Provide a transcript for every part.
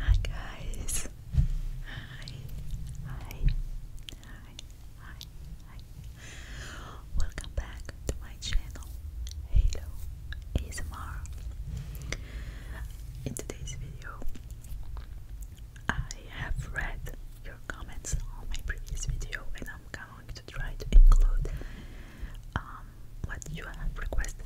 Hi guys. Hi. Hi. Hi. Hi. Hi. Welcome back to my channel Halo ASMR. In today's video I have read your comments on my previous video and I'm going to try to include um, what you have requested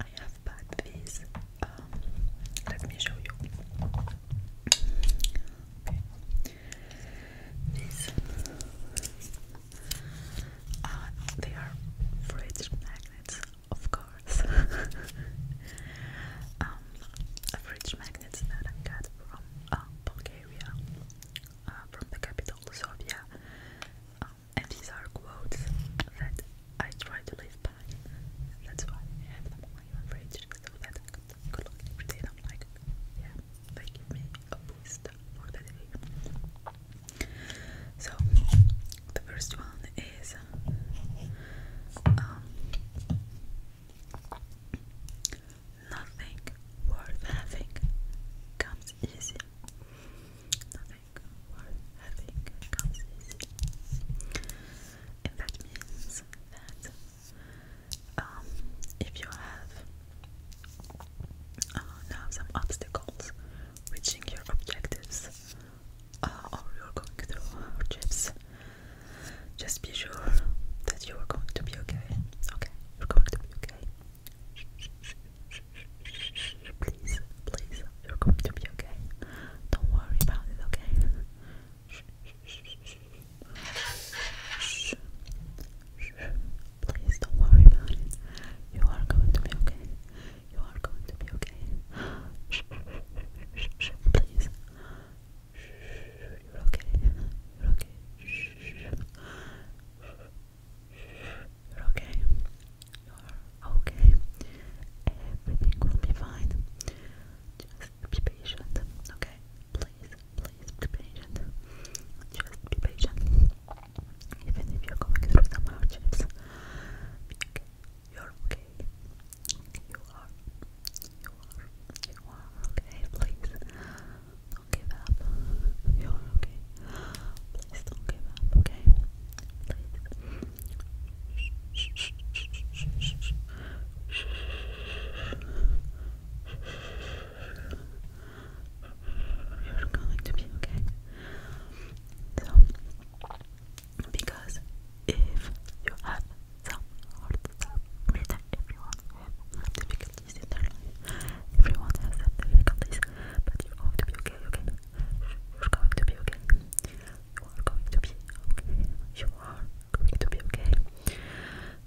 I have bought these. Um, let me show you. These uh, they are fridge magnets, of course. Um, fridge magnets that I got from uh, Bulgaria, uh, from the capital Sofia. Um, and these are quotes that I try to live by. That's why I have them on my fridge so that I could look every day. And i like, yeah, they give me a boost for the day. So the first one is um, nothing worth having comes easy. And that means that if you have um, uh, now some obstacles reaching your objectives or you're going through trips, just be sure that you are going to be okay. Okay, you're going to be okay. Please, please, you're going to be okay. Don't worry about it, okay? Please don't worry about it. You are going to be okay. You are going to be okay. Please. You're okay. You're okay. You're okay. You're okay. Everything will be fine. Just be patient, okay? Please, please be patient. Just be patient. Even if you're going through some hardships, okay. you're okay. You are. You are. You are okay. Please, don't give up. You're okay. Please don't give up, okay? You're going to be okay. because if you have some hard stuff, later everyone will have difficult you're going to be okay? You're going to be okay. You are going to be okay. You are going to be okay.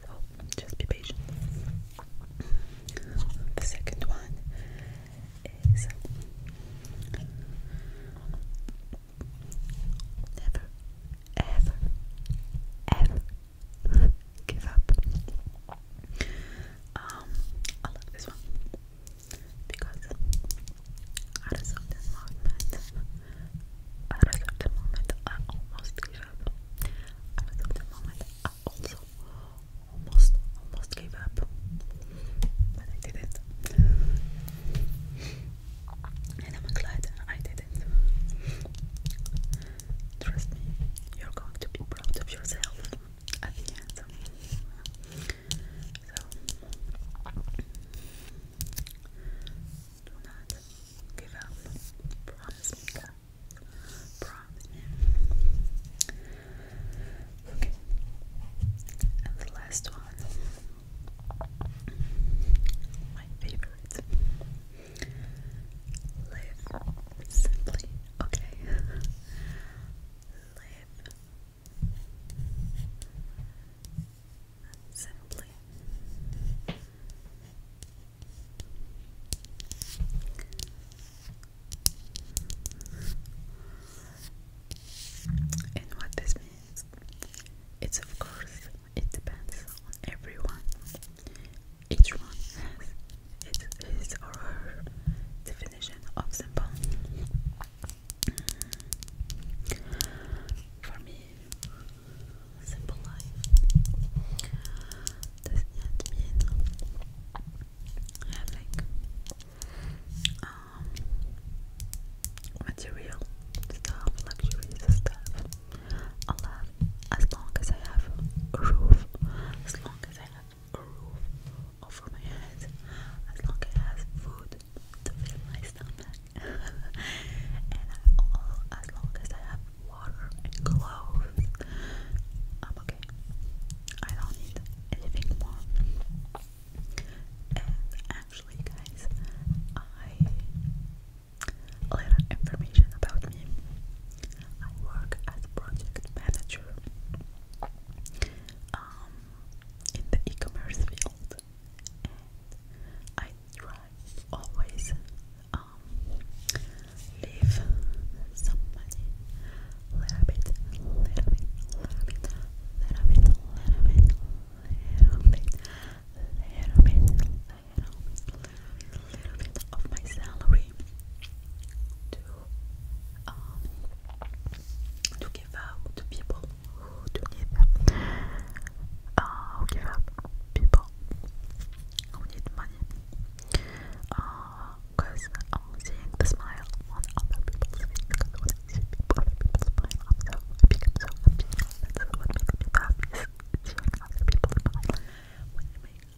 So just be patient. The second one is um, never, ever, ever, give up. Um, I love this one because at a certain moment, at a certain moment, I almost gave up. At a certain moment, I also almost, almost gave up, but I didn't. And I'm glad I didn't. Trust me, you're going to be proud of yourself at the end. So, do not Okay. And the last one, my favorite. Live simply. Okay. Live simply. And what this means, it's of course, it depends on everyone. Each one has its, his or her definition of simple. For me, simple life does not mean having um, material stuff, luxury stuff. I as long as I have a roof, as long long as I have a roof over my head, as long as I have food to fill my stomach, and as long as I have water and clothes, I'm okay. I don't need anything more. And actually, guys, I. A little information about me. I work as project manager in the e-commerce field, and I try always leave some money, little bit, little bit, little bit, little bit, little bit, little bit, little bit, little bit you know, a little bit of my salary to um, to give to people who need them. Uh, who give out people who need money. Because uh, seeing the smile on other people's face because when people, other people I'm so happy, That's what makes me happy, seeing other people smile. When you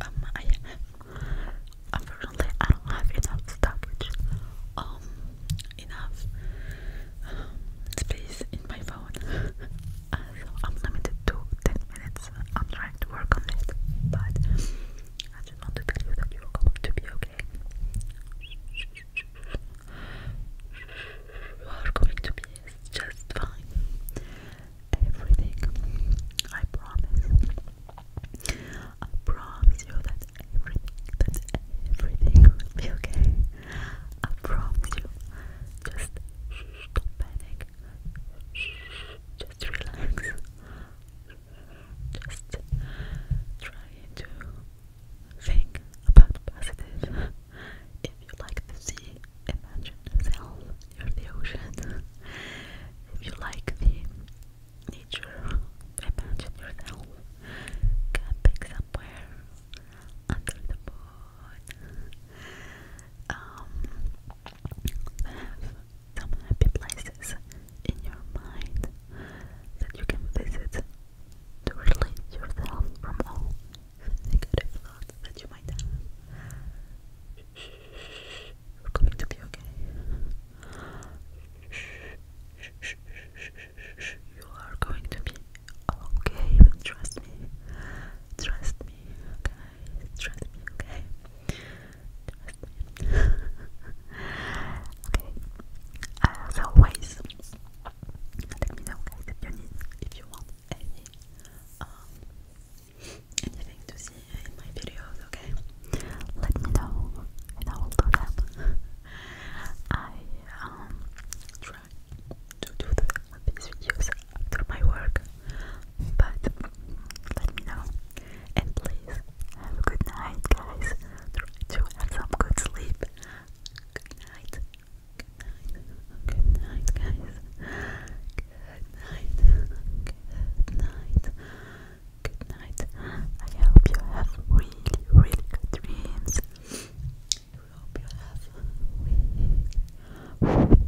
Um, I unfortunately I don't have enough storage, um, enough um, space in my phone, uh, so I'm limited to ten minutes. I'm trying to work on it, but I just want to tell you that you're going to be okay. You are going to be just fine everything. I promise. I promise you that everything, that everything okay. I promise you. Just shh, do just relax. Just try to think about positive. If you like to see, imagine yourself near the ocean. if you like the nature, imagine yourself camping somewhere under the moon. Um, have some happy places in your mind that you can visit to release yourself from all the negative thoughts that you might have. Shh, are coming to you, okay? you are going to be okay. Trust me. Trust me, guys. Trust me, okay? Trust me. okay. As always, let me know, guys, if you if you want um, and to see in my videos, okay? Let me know and I will do them. I um, try to do the, these videos after my work, but let me know. And please have a good night, guys. Try to have some good sleep. Good night. Good night. Good night, guys. Good night. Good night. I hope you have really, really good dreams. I hope you have really, really,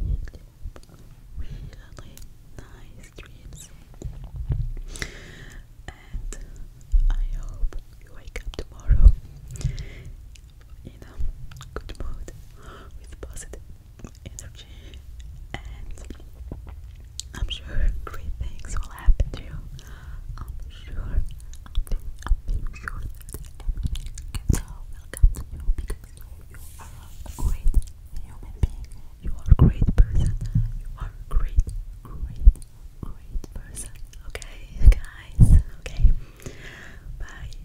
really nice dreams. And I hope you wake up tomorrow in a good mood with positive energy, and I'm sure great things will happen to you. I'm sure, I'm being, I'm being sure that everything gets out will come to you because you are a great human being. You are a great person. You are a great, great, great person. Okay, guys. Okay. Bye.